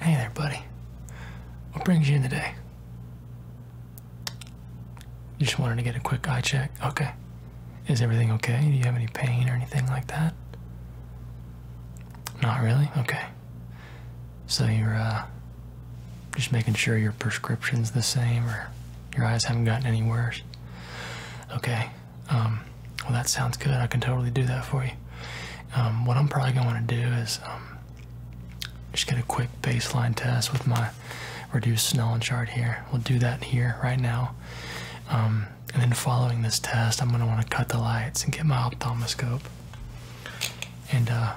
Hey there, buddy. What brings you in today? You just wanted to get a quick eye check. Okay. Is everything okay? Do you have any pain or anything like that? Not really? Okay. So you're uh, just making sure your prescription's the same or your eyes haven't gotten any worse? Okay. Um, well, that sounds good. I can totally do that for you. Um, what I'm probably going to do is um, just get a quick baseline test with my reduced Snellen chart here. We'll do that here right now. Um, and then following this test, I'm going to want to cut the lights and get my ophthalmoscope and uh,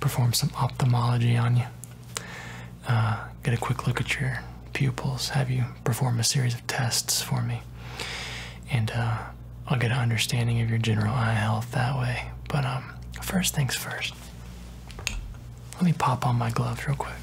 perform some ophthalmology on you. Uh, get a quick look at your pupils, have you perform a series of tests for me. And uh, I'll get an understanding of your general eye health that way. But um, first things first, let me pop on my gloves real quick.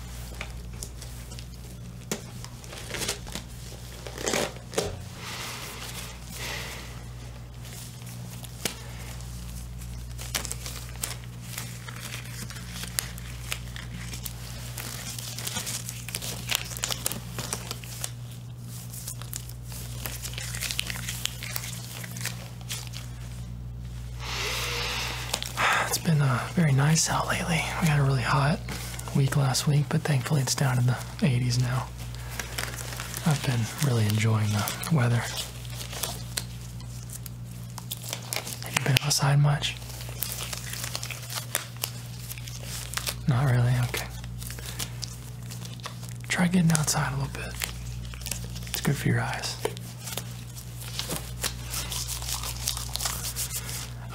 It's been a uh, very nice out lately. We had a really hot week last week, but thankfully it's down in the 80s now. I've been really enjoying the weather. Have you been outside much? Not really, okay. Try getting outside a little bit. It's good for your eyes.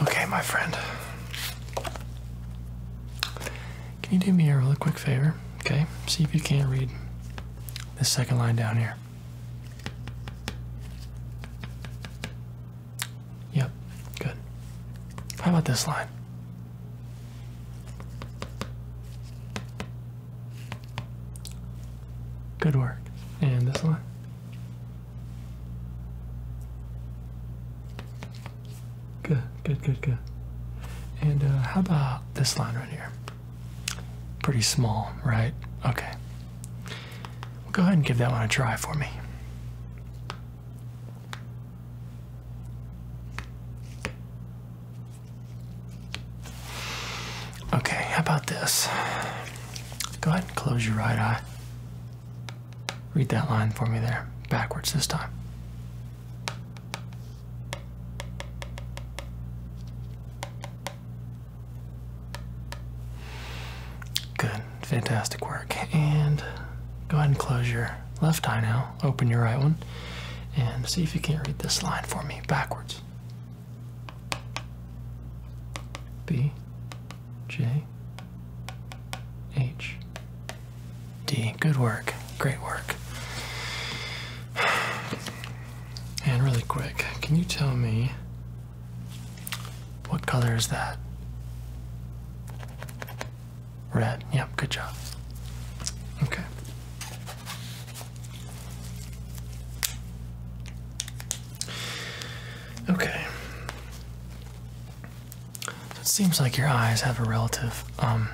Okay, my friend. Can you do me a really quick favor? Okay, see if you can't read this second line down here. Yep, good. How about this line? Good work. And this one. Good, good, good, good. And uh, how about this line right here? Pretty small, right? Okay. go ahead and give that one a try for me. Okay, how about this? Go ahead and close your right eye. Read that line for me there, backwards this time. Good. Fantastic work. And go ahead and close your left eye now. Open your right one and see if you can read this line for me backwards. B, J, H, D. Good work. Great work. And really quick, can you tell me what color is that? Red. Yep, good job. Okay. Okay. it seems like your eyes have a relative, um,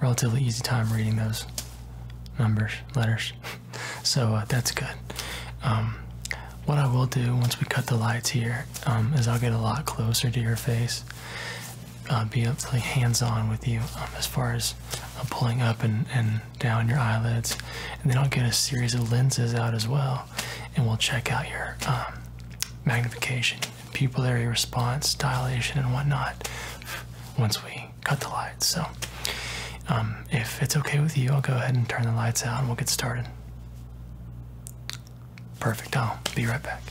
relatively easy time reading those numbers, letters. So uh, that's good. Um, what I will do once we cut the lights here um, I'll get a lot closer to your face, uh, be able to, like hands-on with you um, as far as uh, pulling up and, and down your eyelids, and then I'll get a series of lenses out as well, and we'll check out your um, magnification, pupillary response, dilation, and whatnot once we cut the lights. So, if it's okay with you, I'll go ahead and turn the lights out, and we'll get started. Perfect. I'll be right back.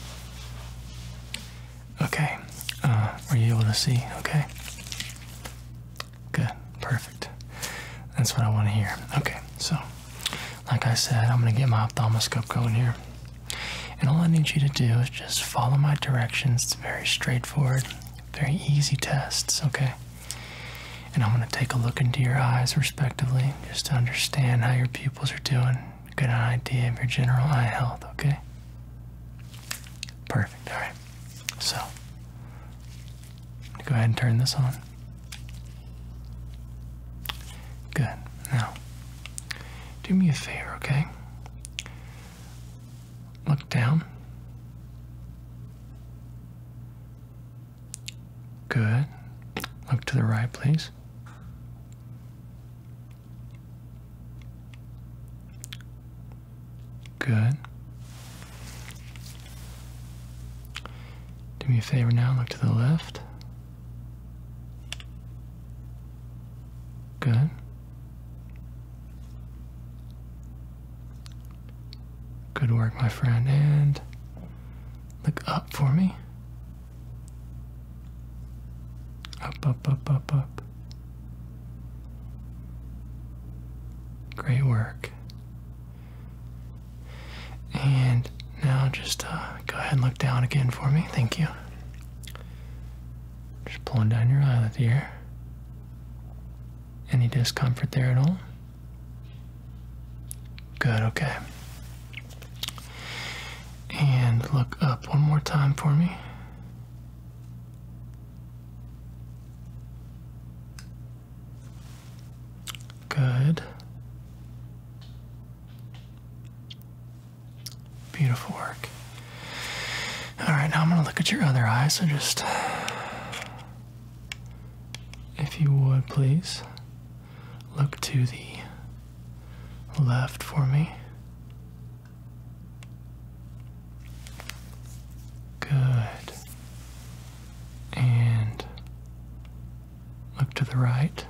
Okay. Uh, are you able to see? Okay. Good. Perfect. That's what I want to hear. Okay. So, like I said, I'm going to get my ophthalmoscope going here. And all I need you to do is just follow my directions. It's very straightforward, very easy tests, okay? And I'm going to take a look into your eyes, respectively, just to understand how your pupils are doing, get an idea of your general eye health, okay? Perfect, alright. So, go ahead and turn this on. Good. Now, do me a favor, okay? Look down. Good. Look to the right, please. Good. Do me a favor now, look to the left. Good. Good work, my friend. And Look up for me. Up, up, up, up, up. Great work. And now just uh, go ahead and look down again for me. Thank you. Just pulling down your eyelid here. Any discomfort there at all? Good, okay. And look up one more time for me. Good. Beautiful work. All right, now I'm going to look at your other eye, so just if you would please look to the left for me. Good. And look to the right.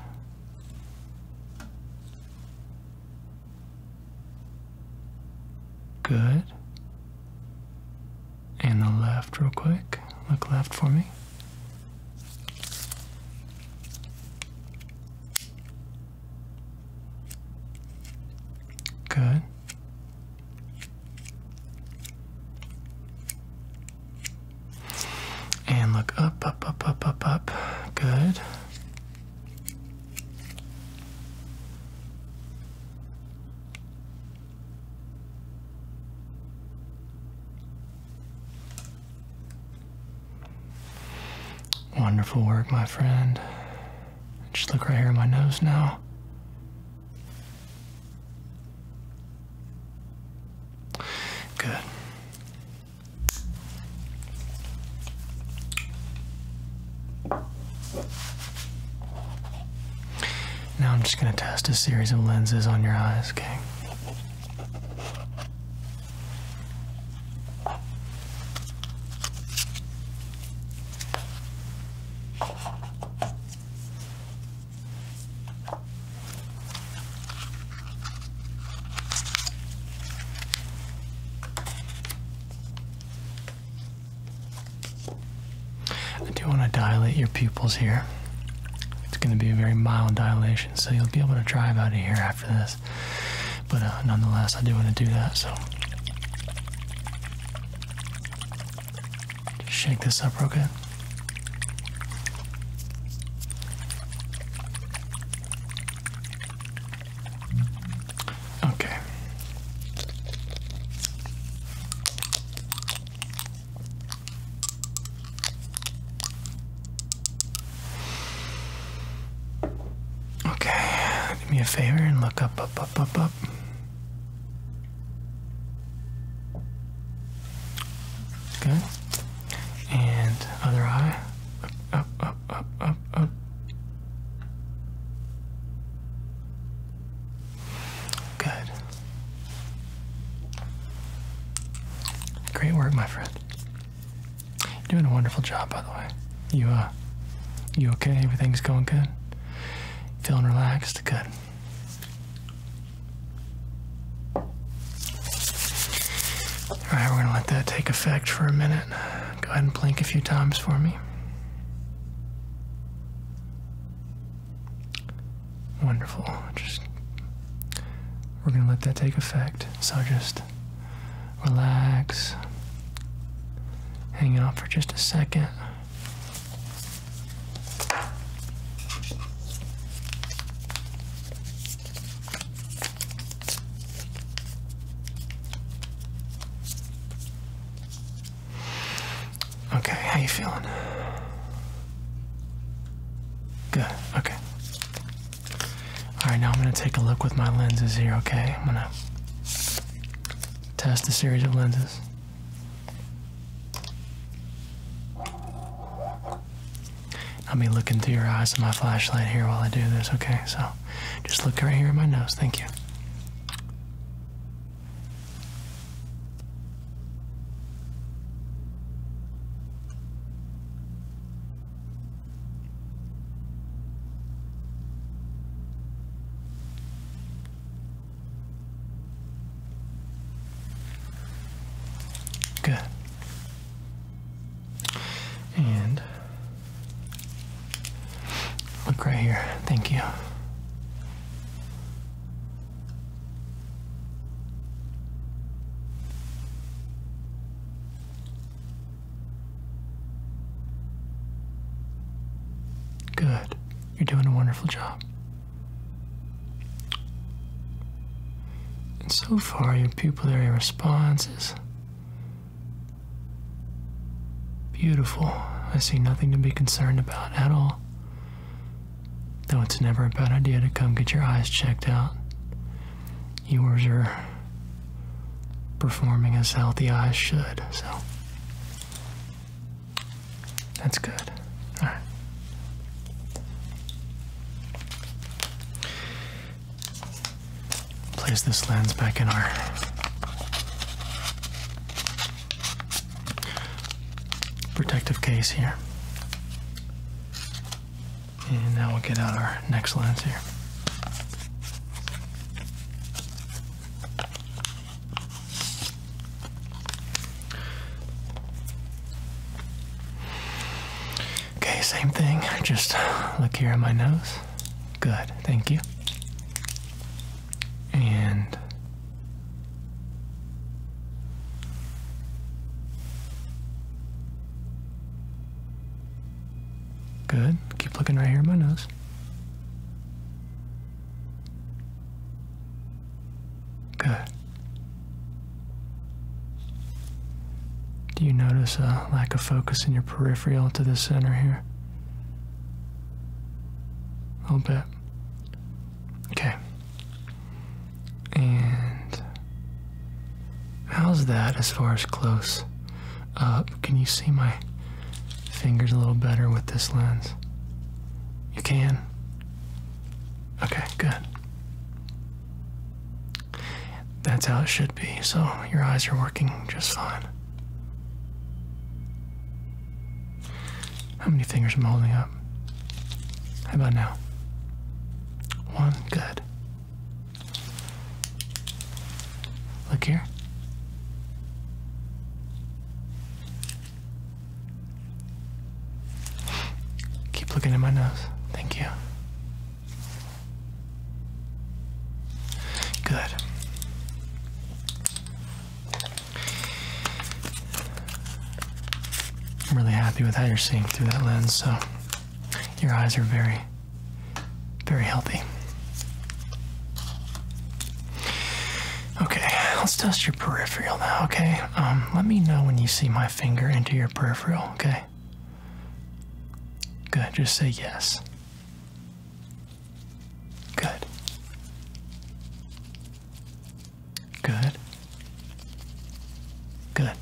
Good and the left real quick. Look left for me. Good. And look up, up, up, up, up, up. Good. Wonderful work, my friend. Just look right here at my nose now. Good. Now I'm just going to test a series of lenses on your eyes, okay? I do want to dilate your pupils here. It's going to be a very mild dilation, so you'll be able to drive out of here after this. But uh, nonetheless, I do want to do that, so. Just shake this up real good. Okay. Okay, do me a favor and look up, up, up, up, up. Good. And other eye. Up, up, up, up, up, up. Good. Great work, my friend. You're doing a wonderful job, by the way. You, uh, you okay? Everything's going good? Feeling relaxed? Good. Alright, we're gonna let that take effect for a minute. Go ahead and blink a few times for me. Wonderful. Just we're gonna let that take effect. So just relax. Hang out for just a second. Okay, how you feeling? Good. Okay. All right, now I'm gonna take a look with my lenses here. Okay, I'm gonna test a series of lenses. I'll be looking through your eyes with my flashlight here while I do this. Okay, so just look right here in my nose. Thank you. Good. And look right here. Thank you. Good. You're doing a wonderful job. And so far, your pupillary response is beautiful. I see nothing to be concerned about at all though it's never a bad idea to come get your eyes checked out. Yours are performing as healthy eyes should, so that's good. All right. Place this lens back in our protective case here. And now we'll get out our next lens here. Okay, same thing. Just look here at my nose. Good, thank you and good keep looking right here at my nose good do you notice a lack of focus in your peripheral to the center here a little bit Okay. And how's that as far as close up? Can you see my fingers a little better with this lens? You can? Okay, good. That's how it should be, so your eyes are working just fine. How many fingers am I holding up? How about now? One, good. Look here. Keep looking at my nose. Thank you. Good. I'm really happy with how you're seeing through that lens, so your eyes are very, very healthy. Okay, let's test your peripheral now, okay? Um, let me know when you see my finger into your peripheral, okay? Good, just say yes. Good. Good. Good.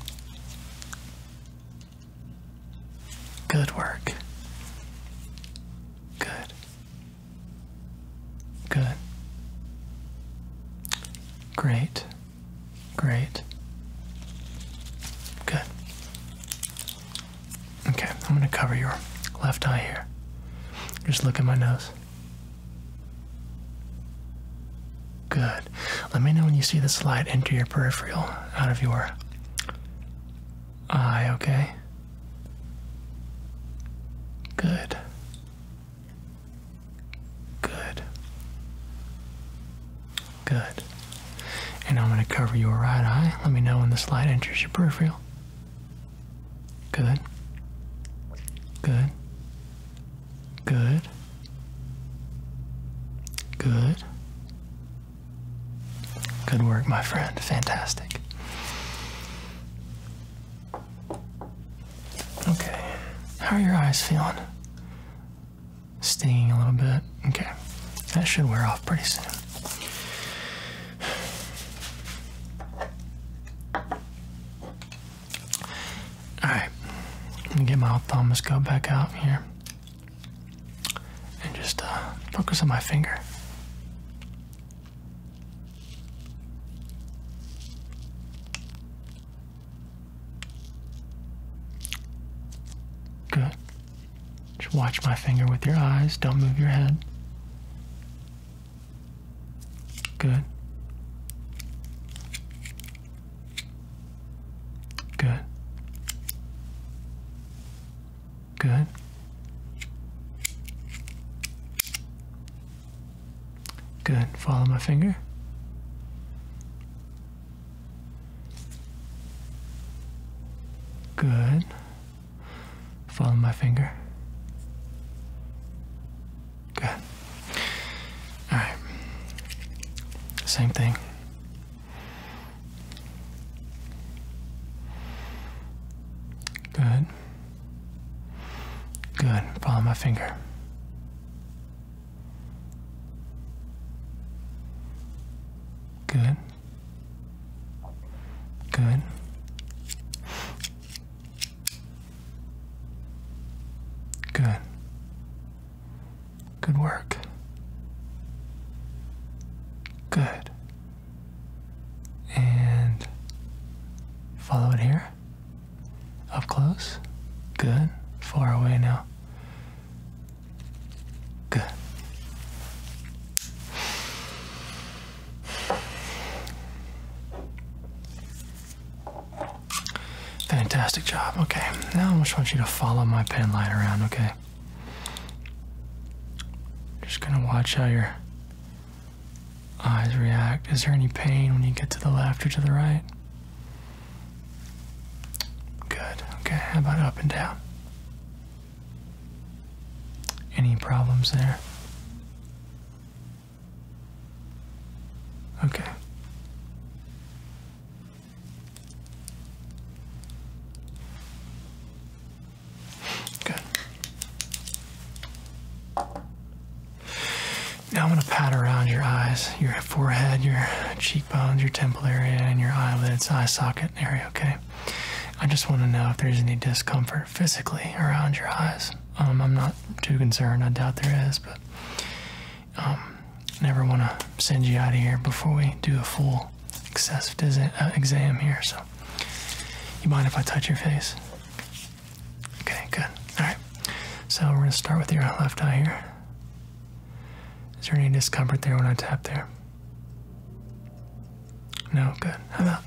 Good work. Good. Good. Great. Great. Good. Okay, I'm going to cover your left eye here. Just look at my nose. Good. Let me know when you see the slide enter your peripheral out of your eye, okay? Good. Good. Good. And I'm going to cover your right eye. Let me know when the slide enters your peripheral. Good. Good. Good. Good. Good work, my friend. Fantastic. Okay. How are your eyes feeling? Stinging a little bit. Okay. That should wear off pretty soon. Alright, let me get my ophthalmoscope back out here and just uh, focus on my finger. Good. Just watch my finger with your eyes, don't move your head. Good. Good. Good. Good. Follow my finger. Good. Follow my finger. Good. All right. Same thing. Good. Good. Follow my finger. Good. Good. Good. Good work. Good. And follow it here. Up close. Good. Far away now. Good. Fantastic job. Okay, now I just want you to follow my pen light around, okay? Just gonna watch how your eyes react. Is there any pain when you get to the left or to the right? Good. Okay, how about up and down? Any problems there? Okay. Good. Now I'm going to pat around your eyes, your forehead, your cheekbones, your temple area, and your eyelids, eye socket area, okay? I just want to know if there's any discomfort physically around your eyes. Um, I'm not too concerned. I doubt there is, but um, never want to send you out of here before we do a full excessive uh, exam here. So, you mind if I touch your face? Okay, good. All right. So we're gonna start with your left eye here. Is there any discomfort there when I tap there? No, good. How about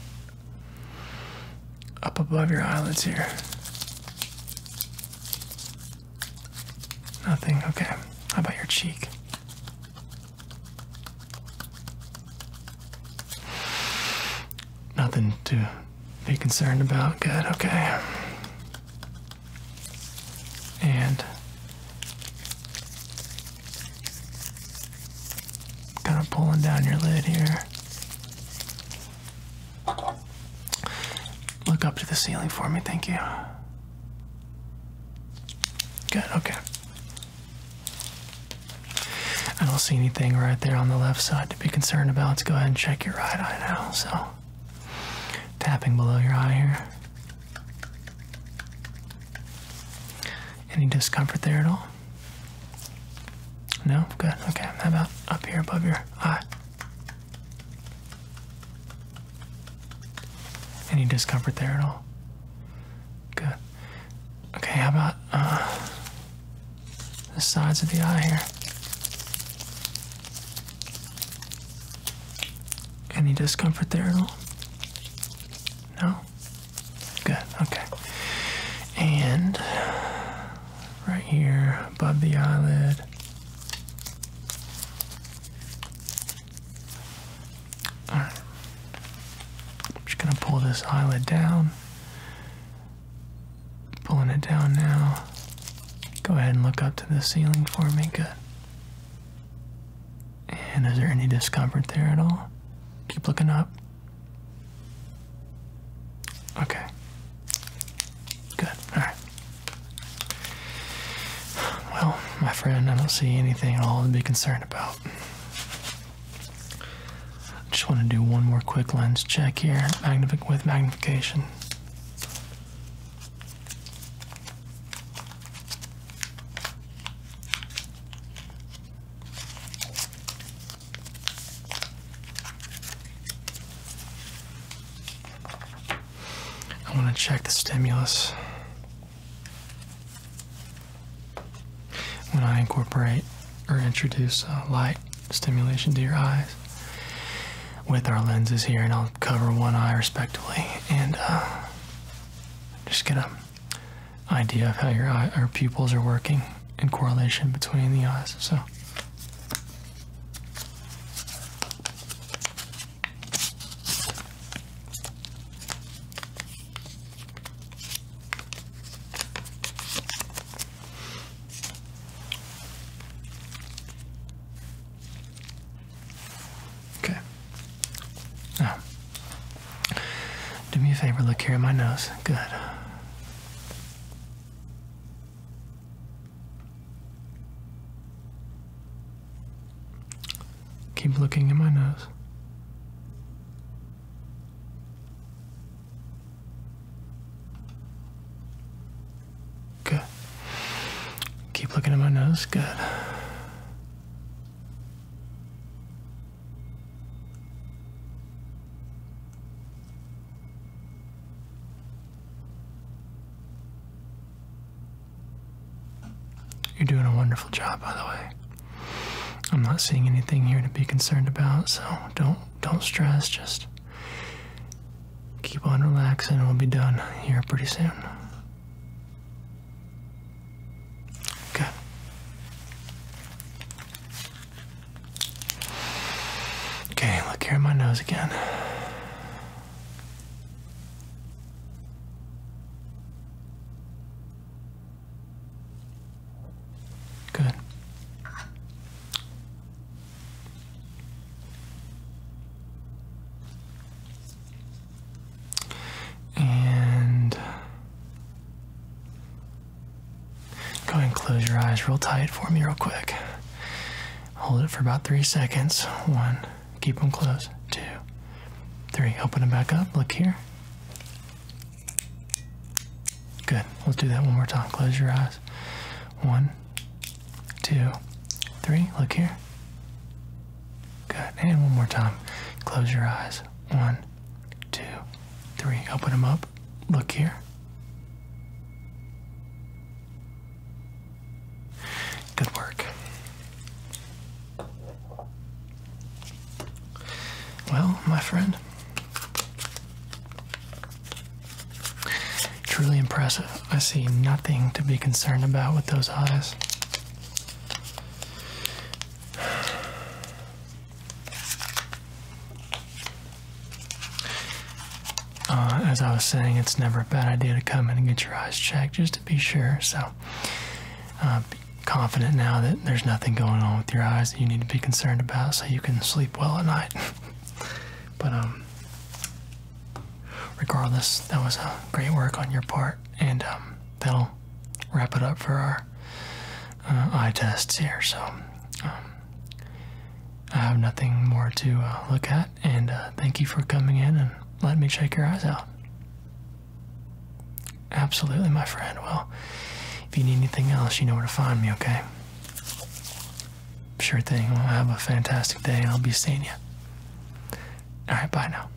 up above your eyelids here. Nothing. Okay. How about your cheek? Nothing to be concerned about. Good. Okay. And Kind of pulling down your lid here. Look up to the ceiling for me, thank you. Good, okay. I don't see anything right there on the left side to be concerned about. Let's go ahead and check your right eye now. So, tapping below your eye here. Any discomfort there at all? No? Good. Okay. How about up here above your eye? Any discomfort there at all? Good. Okay, how about uh, the sides of the eye here? Any discomfort there at all? No? Good, okay. And right here above the eyelid. Alright. I'm just gonna pull this eyelid down. Pulling it down now. Go ahead and look up to the ceiling for me. Good. And is there any discomfort there at all? Keep looking up. Okay. Good. All right. Well, my friend, I don't see anything at all to be concerned about. I Just want to do one more quick lens check here, with magnification. I want to check the stimulus. When I incorporate or introduce light stimulation to your eyes with our lenses here, and I'll cover one eye respectively, and uh, just get a idea of how your eye pupils are working in correlation between the eyes. So. Okay. Now, do me a favor, look here at my nose. Good. Keep looking at my nose. Good. Keep looking at my nose. Good. You're doing a wonderful job, by the way. I'm not seeing anything here to be concerned about, so don't don't stress. Just keep on relaxing. We'll be done here pretty soon. Good. Okay, look here at my nose again. Good. And Go ahead and close your eyes real tight for me, real quick. Hold it for about three seconds. One, keep them closed. Two, three. Open them back up. Look here. Good. Let's do that one more time. Close your eyes. One, two, three. Look here. Good. And one more time. Close your eyes. One, two, three. Open them up. Look here. Good work. Well, my friend, truly impressive. I see nothing to be concerned about with those eyes. Uh, as I was saying, it's never a bad idea to come in and get your eyes checked just to be sure. So, uh, be confident now that there's nothing going on with your eyes that you need to be concerned about, so you can sleep well at night. but um, regardless, that was a great work on your part, and um, that'll wrap it up for our uh, eye tests here. So um, I have nothing more to uh, look at, and uh, thank you for coming in and letting me check your eyes out. Absolutely, my friend. Well, if you need anything else, you know where to find me, okay? Sure thing. Well, have a fantastic day, I'll be seeing you. All right, bye now.